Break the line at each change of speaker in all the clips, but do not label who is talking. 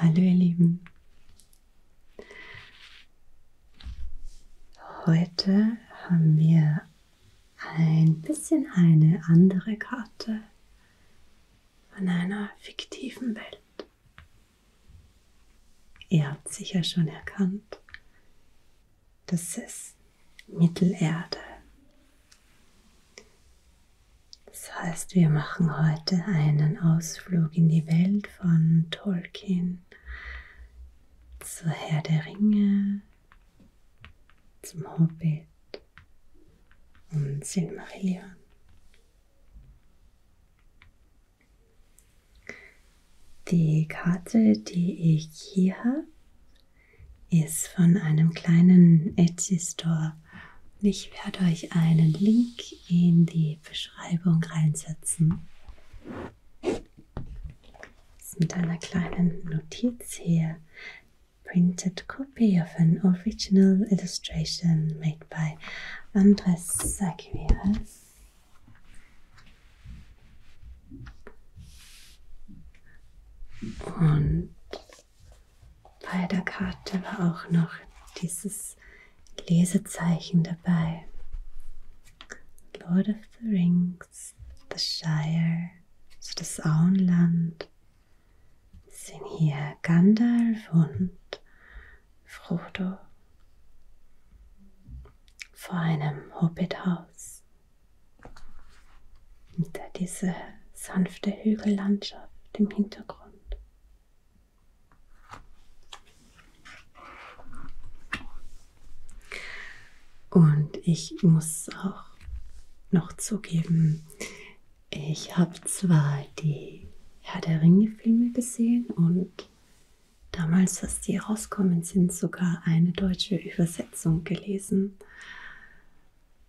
Hallo ihr Lieben. Heute haben wir ein bisschen eine andere Karte von einer fiktiven Welt. Ihr habt sicher schon erkannt, dass es Mittelerde das heißt, wir machen heute einen Ausflug in die Welt von Tolkien, zu Herr der Ringe, zum Hobbit und Silmarillion. Die Karte, die ich hier habe, ist von einem kleinen Etsy Store. Und ich werde euch einen Link in die Beschreibung reinsetzen. Mit einer kleinen Notiz hier. Printed copy of an original illustration made by Andres Aguirre. Und bei der Karte war auch noch dieses Lesezeichen dabei. Lord of the Rings, The Shire, also das Auenland. Sind hier Gandalf und Frodo vor einem Hobbithaus. Und da diese sanfte Hügellandschaft im Hintergrund. Und ich muss auch noch zugeben, ich habe zwar die Herr der Ringe-Filme gesehen und damals, als die rauskommen sind, sogar eine deutsche Übersetzung gelesen.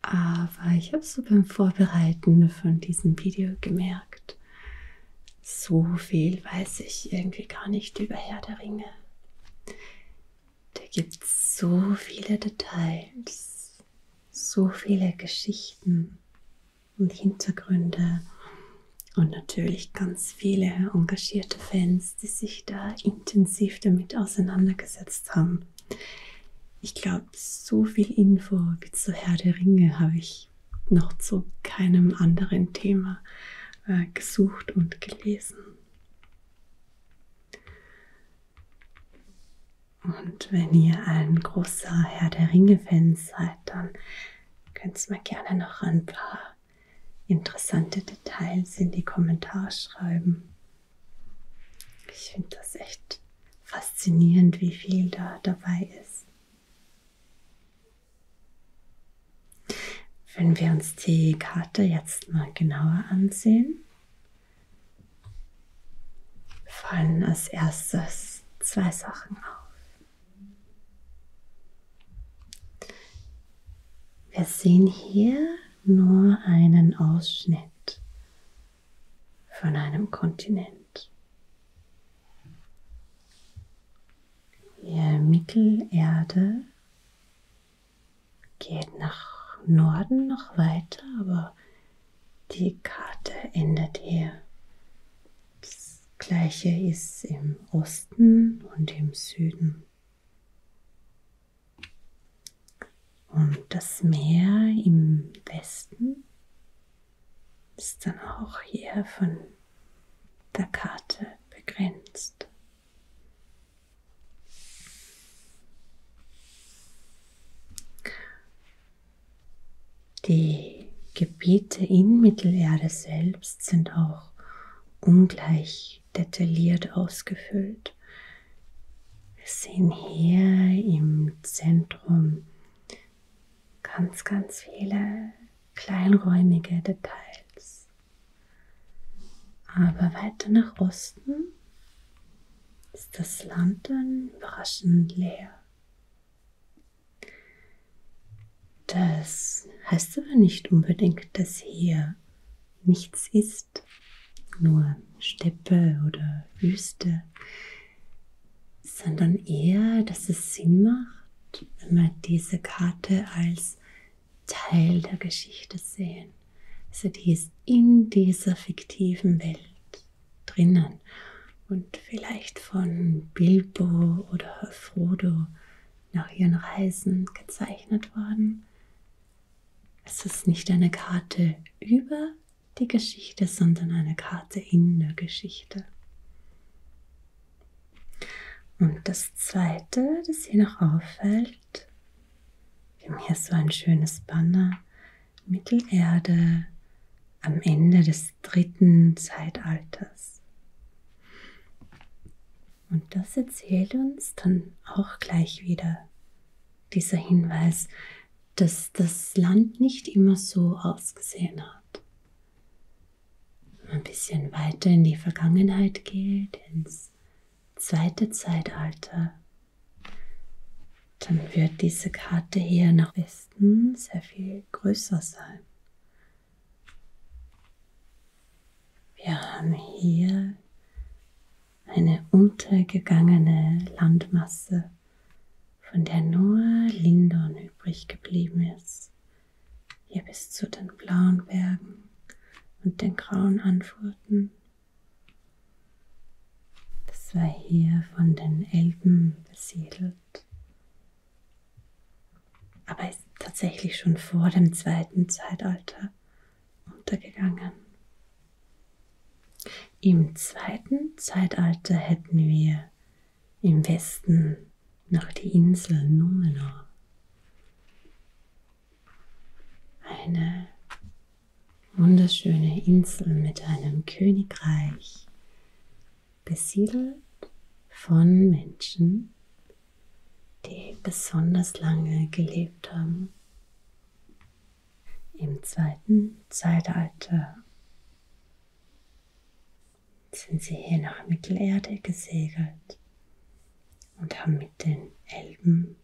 Aber ich habe so beim Vorbereiten von diesem Video gemerkt, so viel weiß ich irgendwie gar nicht über Herr der Ringe. Da gibt es so viele Details, so viele Geschichten und Hintergründe und natürlich ganz viele engagierte Fans, die sich da intensiv damit auseinandergesetzt haben. Ich glaube, so viel Info wie zu Herr der Ringe habe ich noch zu keinem anderen Thema äh, gesucht und gelesen. Und wenn ihr ein großer Herr der Ringe-Fan seid, dann könnt ihr mir gerne noch ein paar interessante Details in die Kommentare schreiben. Ich finde das echt faszinierend, wie viel da dabei ist. Wenn wir uns die Karte jetzt mal genauer ansehen, fallen als erstes zwei Sachen auf. Wir sehen hier nur einen Ausschnitt von einem Kontinent. Die Mittelerde geht nach Norden noch weiter, aber die Karte endet hier. Das gleiche ist im Osten und im Süden. Und das Meer im Westen ist dann auch hier von der Karte begrenzt. Die Gebiete in Mittelerde selbst sind auch ungleich wirklich detailliert ausgefüllt. Wir sehen hier im Zentrum ganz, ganz viele kleinräumige Details. Aber weiter nach Osten ist das Land dann überraschend leer. Das heißt aber nicht unbedingt, dass hier nichts ist ist nur Steppe oder Wüste, sondern eher, dass es Sinn macht, wenn wir diese Karte als Teil der Geschichte sehen. Also die ist in dieser fiktiven Welt drinnen und vielleicht von Bilbo oder Frodo nach ihren Reisen gezeichnet worden, es ist nicht eine Karte über die Geschichte, sondern eine Karte in der Geschichte. Und das Zweite, das hier noch auffällt, wir haben hier so ein schönes Banner, Mittelerde am Ende des dritten Zeitalters. Und das erzählt uns dann auch gleich wieder dieser Hinweis, dass das Land nicht immer so ausgesehen hat. Wenn man ein bisschen weiter in die Vergangenheit geht, ins zweite Zeitalter, dann wird diese Karte hier nach Westen sehr viel größer sein. Wir haben hier eine untergegangene Landmasse, von der nur Lindon übrig geblieben ist, hier bis zu den blauen Bergen und den grauen Anfurten. Das war hier von den Elben besiedelt. Aber ist tatsächlich schon vor dem zweiten Zeitalter untergegangen. Im zweiten Zeitalter hätten wir im Westen noch die Insel Numenor. Eine wunderschöne Insel mit einem Königreich, besiedelt von Menschen, die besonders lange gelebt haben. Im zweiten Zeitalter sind sie hier nach Mittelerde gesegelt und haben mit den Elben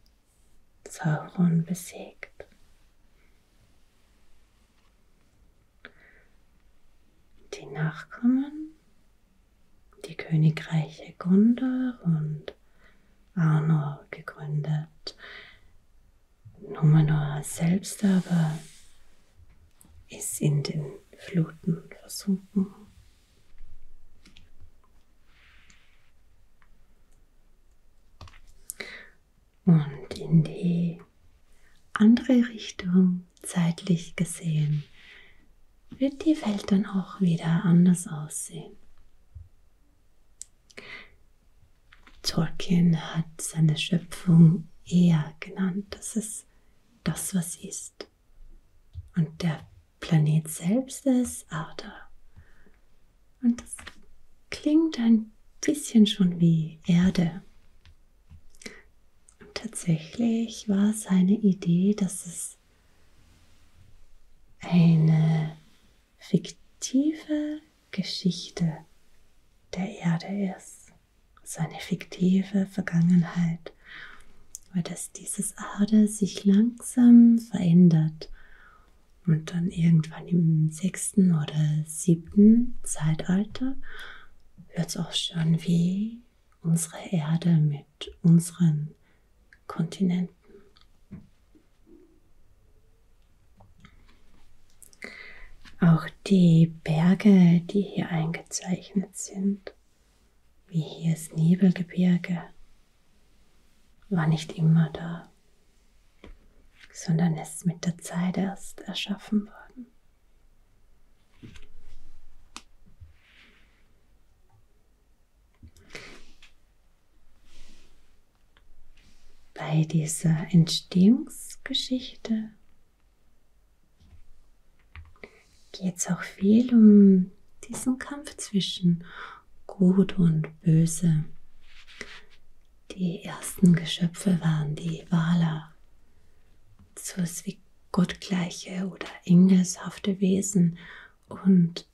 Sauron besiegt. Die Nachkommen, die Königreiche Gondor und Arno ah, gegründet. Numenor selbst aber ist in den Fluten versunken. Und in die andere Richtung, zeitlich gesehen, wird die Welt dann auch wieder anders aussehen. Tolkien hat seine Schöpfung eher genannt. Das ist das, was ist. Und der Planet selbst ist Arda. Und das klingt ein bisschen schon wie Erde. Und tatsächlich war seine Idee, dass es eine fiktive Geschichte der Erde ist. So eine fiktive Vergangenheit, weil das dieses Erde sich langsam verändert und dann irgendwann im sechsten oder siebten Zeitalter wird es auch schon wie unsere Erde mit mit unseren Kontinenten. Auch die Berge, die hier eingezeichnet sind, wie hier das Nebelgebirge, war nicht immer da, sondern ist mit der Zeit erst erschaffen worden. Bei dieser Entstehungsgeschichte geht es auch viel um diesen Kampf zwischen Gut und Böse. Die ersten Geschöpfe waren die Wala, so wie gottgleiche oder engelshafte Wesen und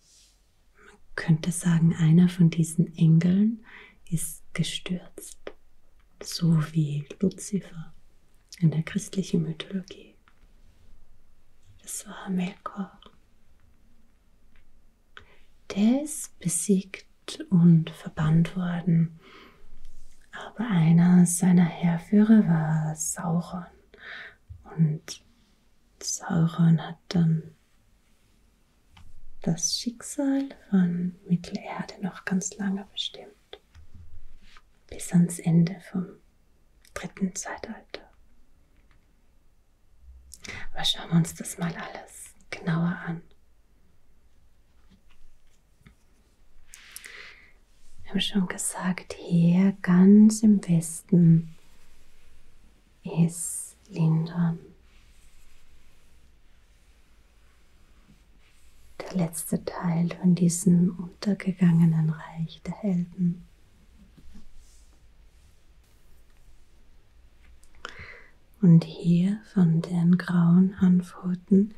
und man könnte sagen, einer von diesen Engeln ist gestürzt, so wie Luzifer in der christlichen Mythologie. Das war Melkor. Der ist besiegt und verbannt worden. Aber einer seiner Herrführer war Sauron. Und Sauron hat dann das Schicksal von Mittelerde noch ganz lange bestimmt. Bis ans Ende vom dritten Zeitalter. Aber schauen wir uns das mal alles genauer an wir haben schon gesagt, hier ganz im Westen ist Lindon. Der letzte Teil von diesem untergegangenen Reich der Helden. Und hier von den grauen Hanfurten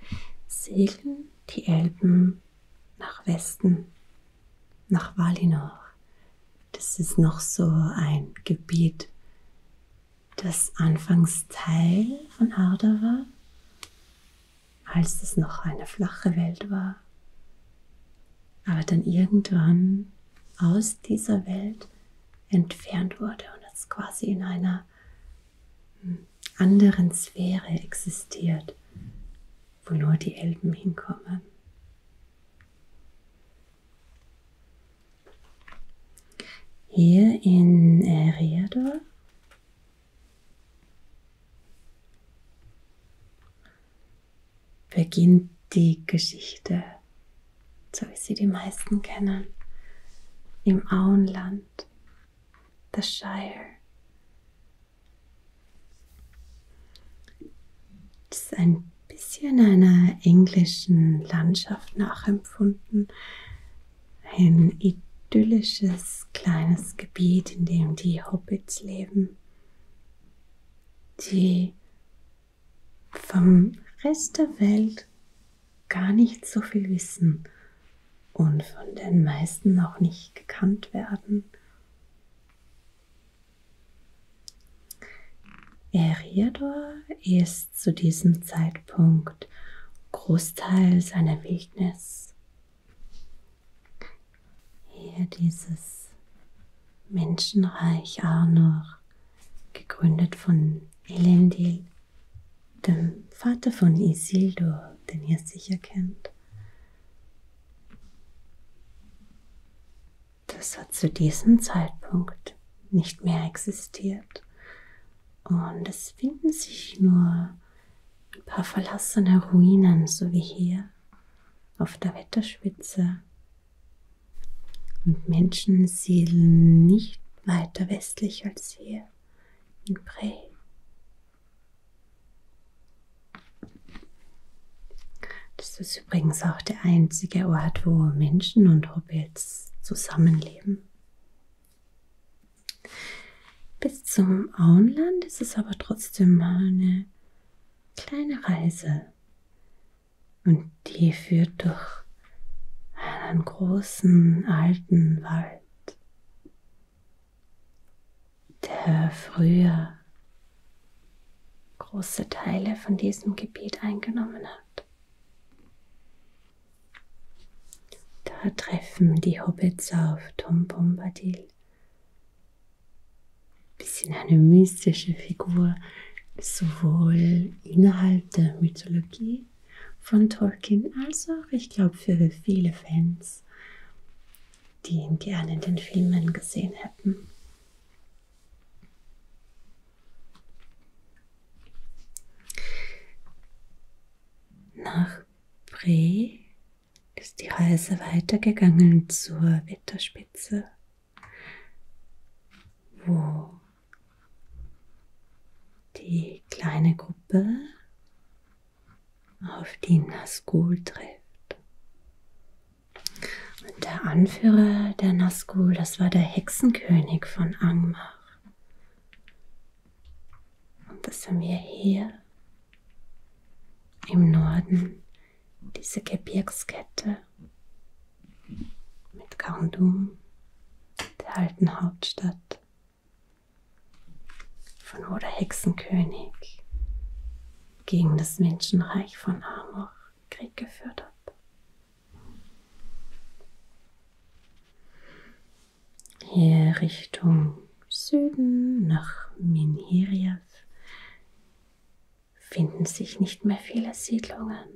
segeln die Elben nach Westen nach Valinor. Das ist noch so ein Gebiet, das anfangs Teil von Arda war, als es noch eine flache Welt war. Aber dann irgendwann aus dieser Welt entfernt wurde und es quasi in einer hm, anderen Sphäre existiert, wo nur die Elben hinkommen. Hier in Eriador äh, beginnt die Geschichte, so wie sie die meisten kennen, im Auenland, the Shire, das ist ein bisschen einer englischen Landschaft nachempfunden. Ein idyllisches kleines Gebiet, in dem die Hobbits leben, die vom Rest der Welt gar nicht so viel wissen und von den meisten auch nicht gekannt werden Eriador ist zu diesem Zeitpunkt großteils eine Wildnis. Hier dieses Menschenreich Arnor, gegründet von Elendil, dem Vater von Isildur, den ihr sicher kennt. Das hat zu diesem Zeitpunkt nicht mehr existiert. Und es finden sich nur ein paar verlassene Ruinen, so wie hier auf der Wetterspitze. Und Menschen siedeln nicht weiter westlich als hier in Prey. Das ist übrigens auch der einzige Ort, wo Menschen und Hobbits zusammenleben. Bis zum Auenland ist es aber trotzdem eine kleine Reise. Und die führt durch einen großen alten Wald der früher große Teile von diesem Gebiet eingenommen hat. Da treffen die Hobbits auf Tom Bombadil. Bisschen eine mystische Figur, sowohl innerhalb der Mythologie von Tolkien als auch, ich glaube, für viele Fans die ihn gerne in den Filmen gesehen hätten. Nach Bre ist die Reise weitergegangen zur Wetterspitze, wo die kleine Gruppe auf die Nazgul trifft. Und der Anführer der Nazgul, das war der Hexenkönig von Angmar. Und das haben wir hier im Norden, diese Gebirgskette mit Kandum, der alten Hauptstadt von Oder Hexenkönig gegen das Menschenreich von Amor Krieg geführt hat. Hier Richtung Süden nach Minhiriev finden sich nicht mehr viele Siedlungen.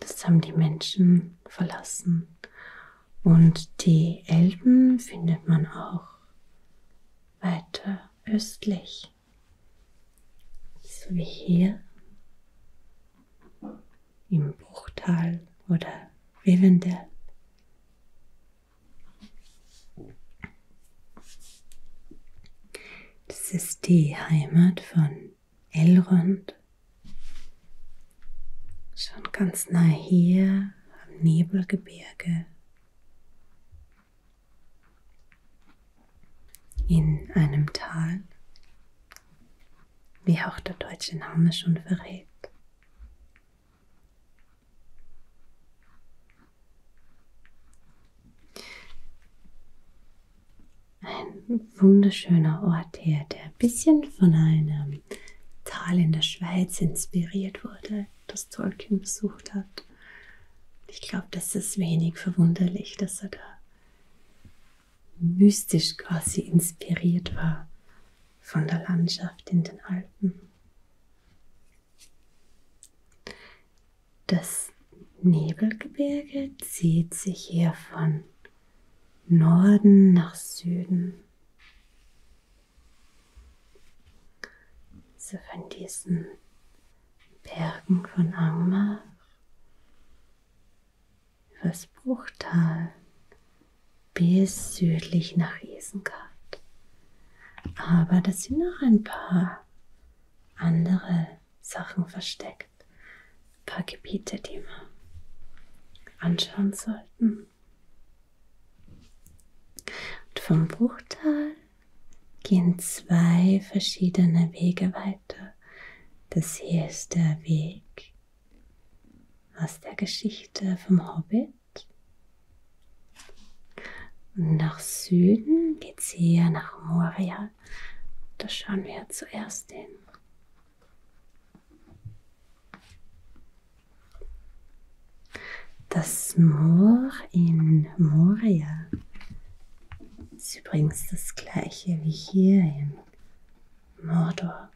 Das haben die Menschen verlassen und die Elben findet man auch weiter östlich. So wie hier im Bruchtal oder Rivendell. Das ist die Heimat von Elrond, schon ganz nah hier am Nebelgebirge in einem Tal, wie auch der deutsche Name schon verrät. Ein wunderschöner Ort hier, der ein bisschen von einem einem Tal in der Schweiz inspiriert wurde, das Tolkien besucht hat. Ich glaube, das ist wenig verwunderlich, dass er da mystisch quasi inspiriert war von der Landschaft in den Alpen. Das Nebelgebirge zieht sich hier von Norden nach Süden so von diesen Bergen von Angmar übers Bruchtal bis südlich nach Isengard. Aber da sind noch ein paar andere Sachen versteckt. Ein paar Gebiete, die wir anschauen sollten. Und vom Bruchtal gehen zwei verschiedene Wege weiter. Das hier ist der Weg aus der Geschichte vom Hobbit. Und nach Süden geht's hier nach Moria. Da schauen wir zuerst hin. Das Moor in Moria ist übrigens das gleiche wie hier in Mordor.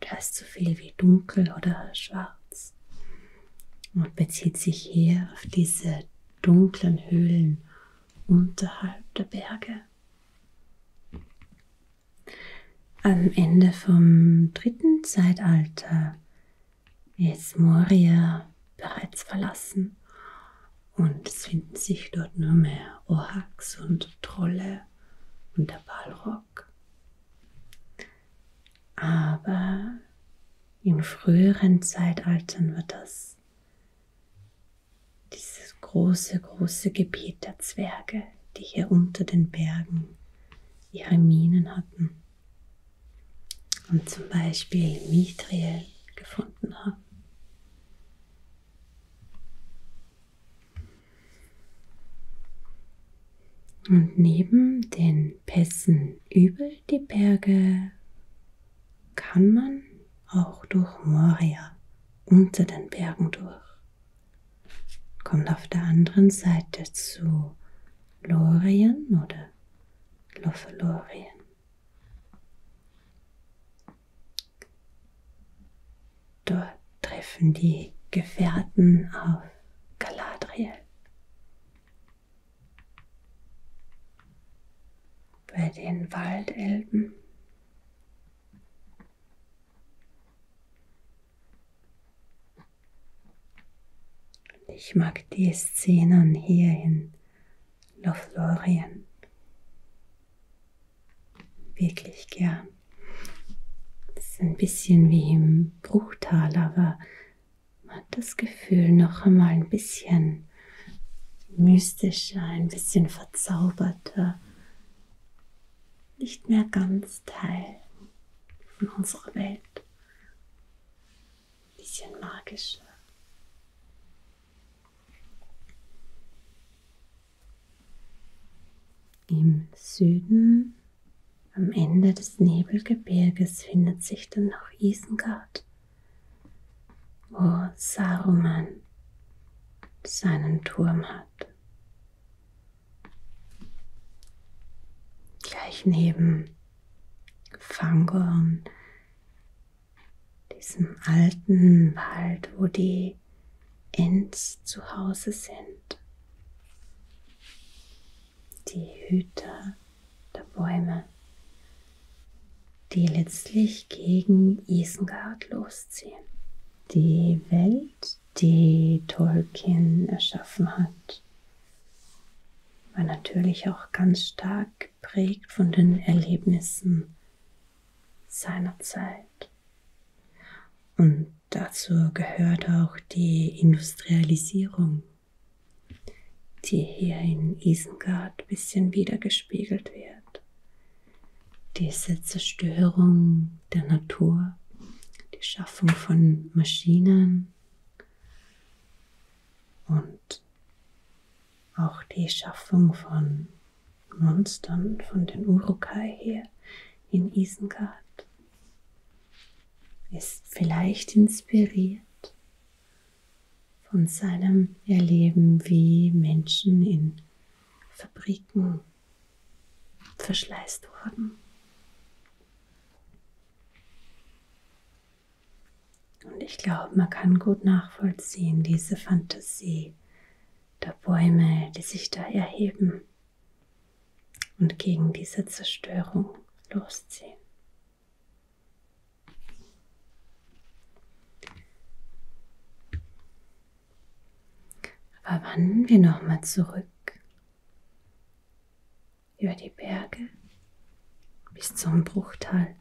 Das heißt so viel wie dunkel oder schwarz und bezieht sich hier auf diese dunklen Höhlen unterhalb der Berge. Am Ende vom dritten Zeitalter ist Moria bereits verlassen und es finden sich dort nur mehr Orhaks und Trolle und der Balrog. Aber in früheren Zeitaltern war das dieses große, große Gebiet der Zwerge, die hier unter den Bergen ihre Minen hatten und zum Beispiel Mithril gefunden haben. Und neben den Pässen über die Berge kann man auch durch Moria unter den Bergen durch kommt auf der anderen Seite zu Lorien oder Lofelorien. Dort treffen die Gefährten auf Galadriel. Bei den Waldelben. Ich mag die Szenen hier in Lothlorien wirklich gern. Es ist ein bisschen wie im Bruchtal, aber man hat das Gefühl, noch einmal ein bisschen mystischer, ein bisschen verzauberter nicht mehr ganz Teil von unserer Welt. Ein bisschen magischer. Im Süden, am Ende des Nebelgebirges, findet sich dann noch Isengard, wo Saruman seinen Turm hat gleich neben Fangorn, diesem alten Wald, wo die Ents zu Hause sind. Die Hüter der Bäume, die letztlich gegen Isengard losziehen die Welt, die Tolkien erschaffen hat, war natürlich auch ganz stark geprägt von den Erlebnissen seiner Zeit. Und dazu gehört auch die Industrialisierung, die hier in Isengard ein bisschen wiedergespiegelt wird diese Zerstörung der Natur, die Schaffung von Maschinen und auch die Schaffung von Monstern von den Urukai hier in Isengard ist vielleicht inspiriert von seinem Erleben, wie Menschen in Fabriken verschleißt worden. Und ich glaube, man kann gut nachvollziehen diese Fantasie der Bäume, die sich da erheben und gegen diese Zerstörung losziehen. Aber wandern wir nochmal zurück über die Berge bis zum Bruchtal.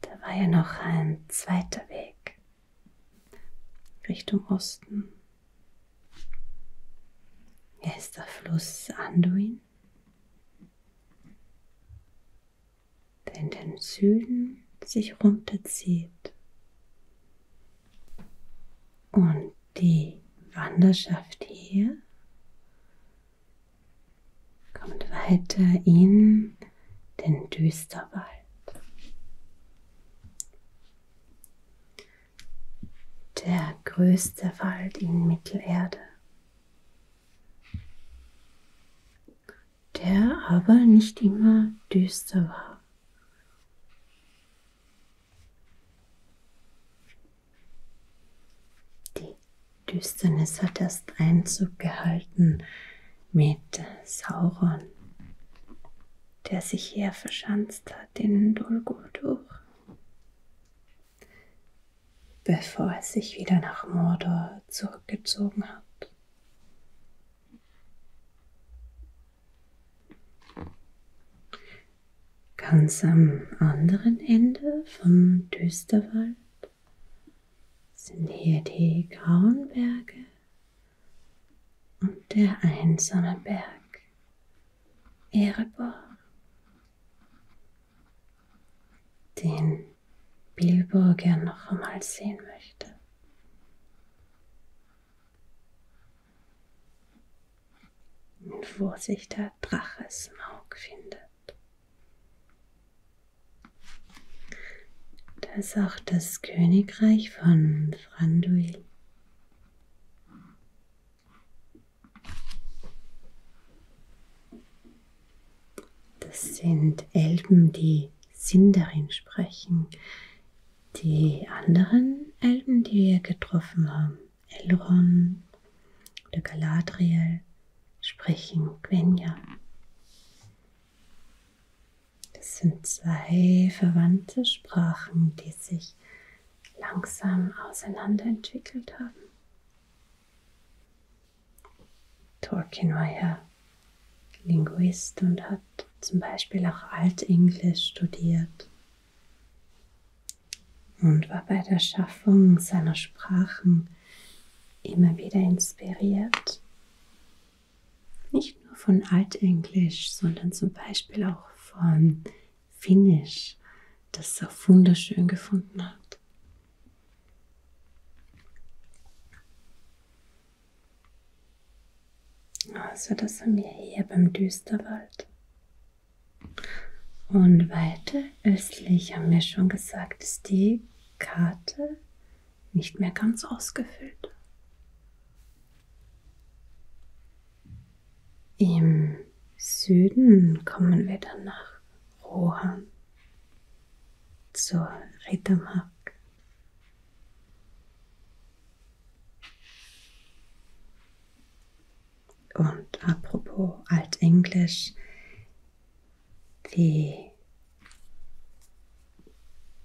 Da war ja noch ein zweiter Weg Richtung Osten. Hier ist der Fluss Anduin der in den Süden sich runterzieht. Und die Wanderschaft hier kommt weiter in den Düsterwald. Der größte Wald in Mittelerde der aber nicht immer düster war. Die Düsternis hat erst Einzug gehalten mit Sauron, der sich hier verschanzt hat in Dol Guldur, bevor er sich wieder nach Mordor zurückgezogen hat. Ganz am anderen Ende vom Düsterwald sind hier die grauen Berge und der einsame Berg Erebor. Den Bilbo gern noch einmal sehen möchte. Und wo sich der Drache Smaug findet. Das ist auch das Königreich von Franduil. Das sind Elben, die Sindarin sprechen. Die anderen Elben, die wir getroffen haben, Elrond oder Galadriel, sprechen Quenya. Das sind zwei verwandte Sprachen, die sich langsam auseinanderentwickelt haben. Tolkien war ja Linguist und hat zum Beispiel auch Altenglisch studiert und war bei der Schaffung seiner Sprachen immer wieder inspiriert. Nicht nur von Altenglisch, sondern zum Beispiel auch von Finnisch, das er wunderschön gefunden hat. Also das haben wir hier beim Düsterwald. Und weiter östlich haben wir schon gesagt, ist die Karte nicht mehr ganz ausgefüllt. Im Süden kommen wir dann nach Rohan zur Rittermark. Und apropos Altenglisch, die,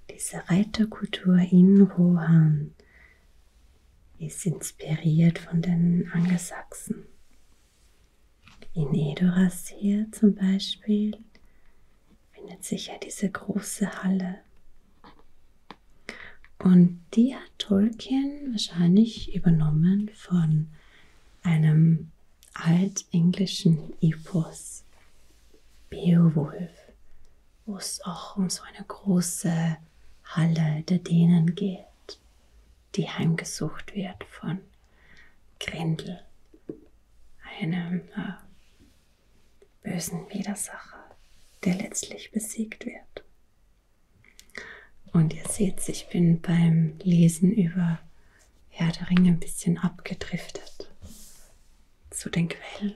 diese Reiterkultur in Rohan ist inspiriert von den Angelsachsen. In Edoras hier zum Beispiel findet sich ja diese große Halle. Und die hat Tolkien wahrscheinlich übernommen von einem altenglischen Epos, Beowulf, wo es auch um so eine große Halle der Dänen geht, die heimgesucht wird von Grindel, einem äh, bösen Widersacher, der letztlich besiegt wird. Und ihr seht, ich bin beim Lesen über Herr der Ringe ein bisschen abgedriftet zu den Quellen.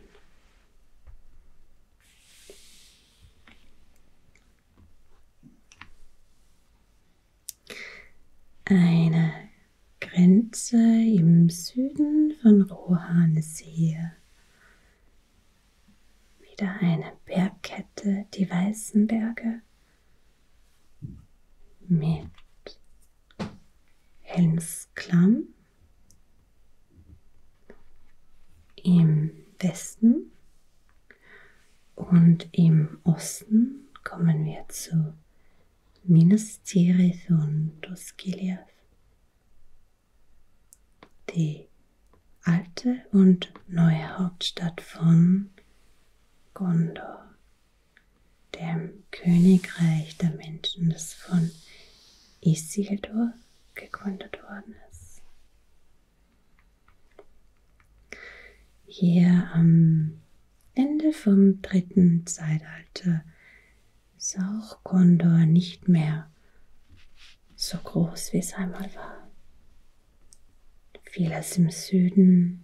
Eine Grenze im Süden von Rohanesee. Wieder eine Bergkette, die weißen Berge mit Helmsklamm im Westen und im Osten kommen wir zu Minas Tirith und Osgiliath. Die alte und neue Hauptstadt von Gondor, dem Königreich der Menschen, das von Isildur gegründet worden ist. Hier am Ende vom dritten Zeitalter ist auch Gondor nicht mehr so groß, wie es einmal war. Vieles im Süden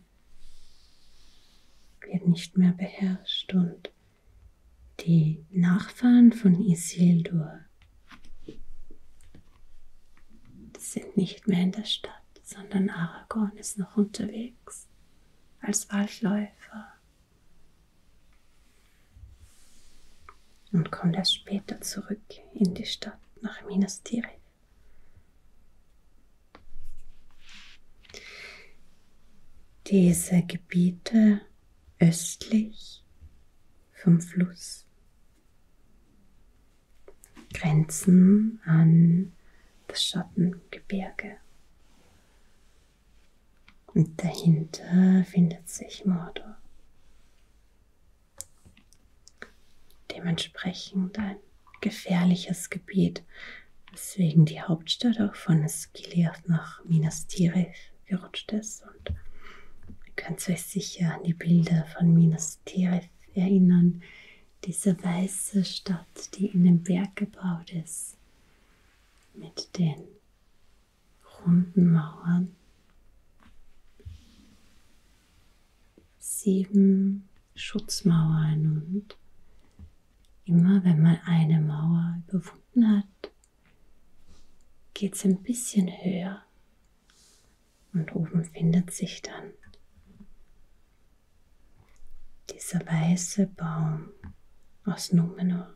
wird nicht mehr beherrscht und die Nachfahren von Isildur sind nicht mehr in der Stadt, sondern Aragorn ist noch unterwegs als Waldläufer. Und kommt erst später zurück in die Stadt nach Minas Tirith. Diese Gebiete östlich vom Fluss grenzen an das Schattengebirge. Und dahinter findet sich Mordor. Dementsprechend ein gefährliches Gebiet, weswegen die Hauptstadt auch von Esgiliath nach Minas Tirith gerutscht ist. Und ihr könnt euch sicher an die Bilder von Minas Tirith erinnern, diese weiße Stadt, die in den Berg gebaut ist, mit den runden Mauern. Sieben Schutzmauern und immer wenn man eine Mauer überwunden hat, geht es ein bisschen höher und oben findet sich dann dieser weiße Baum aus Numenor.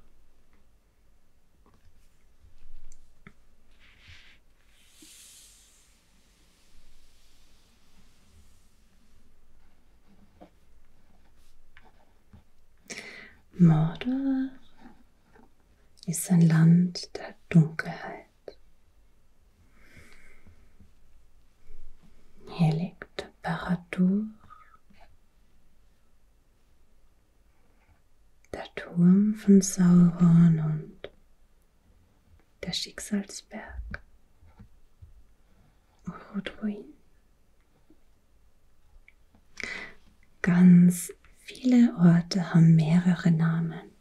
Mordor ist ein Land der Dunkelheit, hier liegt Paradur, der Turm von Sauron und der Schicksalsberg, Rotruin. Ganz viele Orte haben mehrere Namen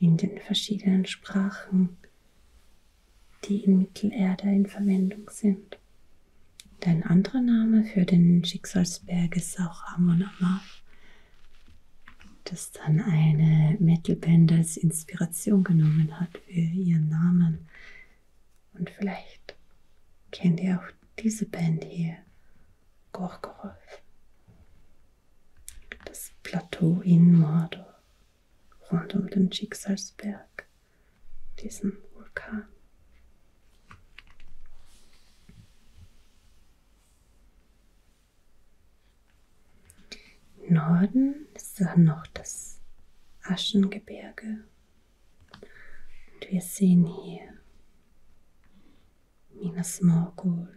in den verschiedenen Sprachen, die in Mittelerde in Verwendung sind. Ein anderer Name für den Schicksalsberg ist auch Amon Amarth, das dann eine Metalband als Inspiration genommen hat für ihren Namen. Und vielleicht kennt ihr auch diese Band hier, Gorgoroth das Plateau in Mordor rund um den Schicksalsberg, diesen Vulkan. Im Norden ist dann noch das Aschengebirge. Und wir sehen hier Minas Morgul,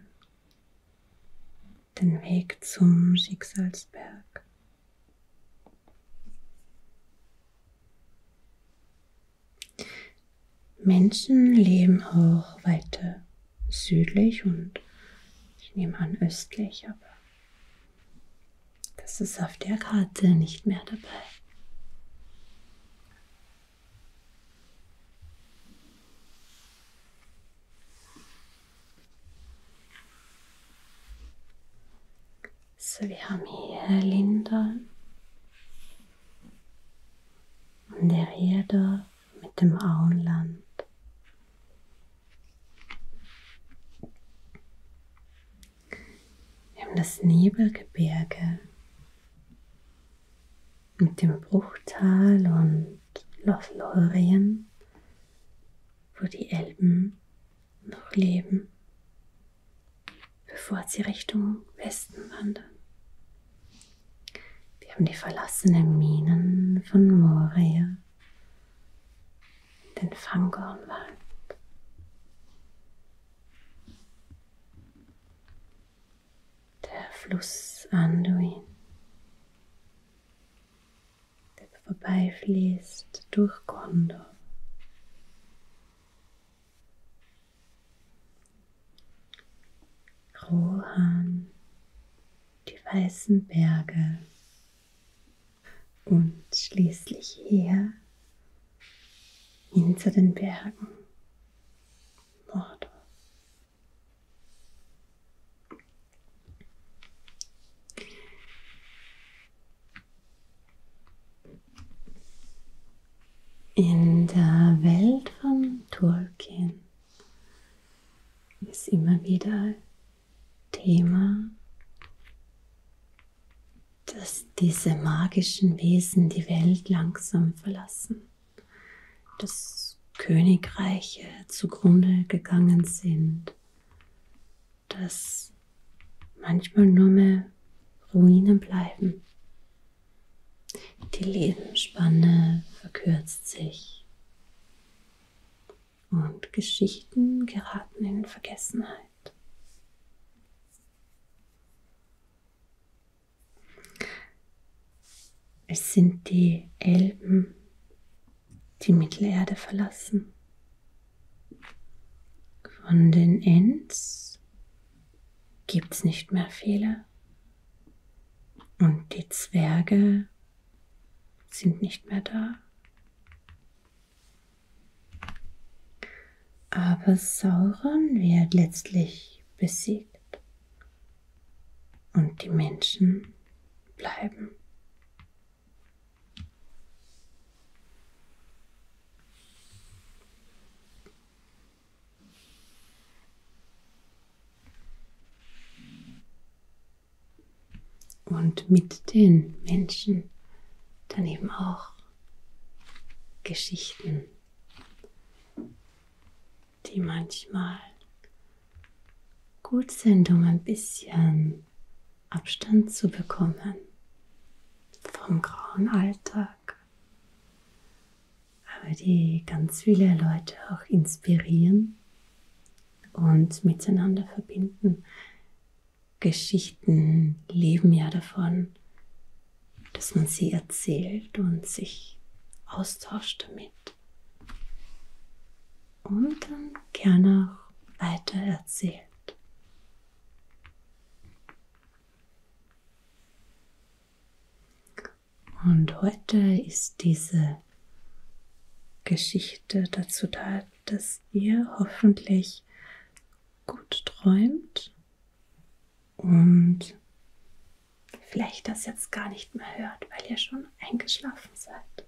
den Weg zum Schicksalsberg. Menschen leben auch weiter südlich und ich nehme an östlich, aber das ist auf der Karte nicht mehr dabei. So, wir haben hier Linda und der Rieder mit dem Auenland. Wir haben das Nebelgebirge mit dem Bruchtal und Lothlorien, wo die Elben noch leben, bevor sie Richtung Westen wandern. Wir haben die verlassenen Minen von Moria, den Fangornwald. Der Fluss Anduin der vorbeifließt durch Gondor. Rohan, die weißen Berge und schließlich hier hinter den Bergen Mordor. In der Welt von Tolkien ist immer wieder Thema, dass diese magischen Wesen die Welt langsam verlassen dass Königreiche zugrunde gegangen sind, dass manchmal nur mehr Ruinen bleiben. Die Lebensspanne verkürzt sich und Geschichten geraten in Vergessenheit. Es sind die Elben, die Mittelerde verlassen. Von den Ents gibt's nicht mehr viele. Und die Zwerge sind nicht mehr da. Aber Sauron wird letztlich besiegt. Und die Menschen bleiben. Und mit den Menschen dann eben auch Geschichten die manchmal gut sind, um ein bisschen Abstand zu bekommen vom grauen Alltag, aber die ganz viele Leute auch inspirieren und miteinander verbinden. Geschichten leben ja davon, dass man sie erzählt und sich austauscht damit und dann gerne auch weiter erzählt. Und heute ist diese Geschichte dazu da, dass ihr hoffentlich gut träumt und vielleicht das jetzt gar nicht mehr hört, weil ihr schon eingeschlafen seid.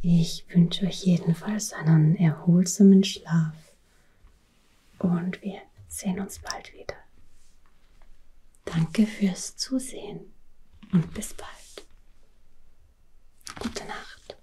Ich wünsche euch jedenfalls einen erholsamen Schlaf und wir sehen uns bald wieder. Danke fürs Zusehen und bis bald. Gute Nacht.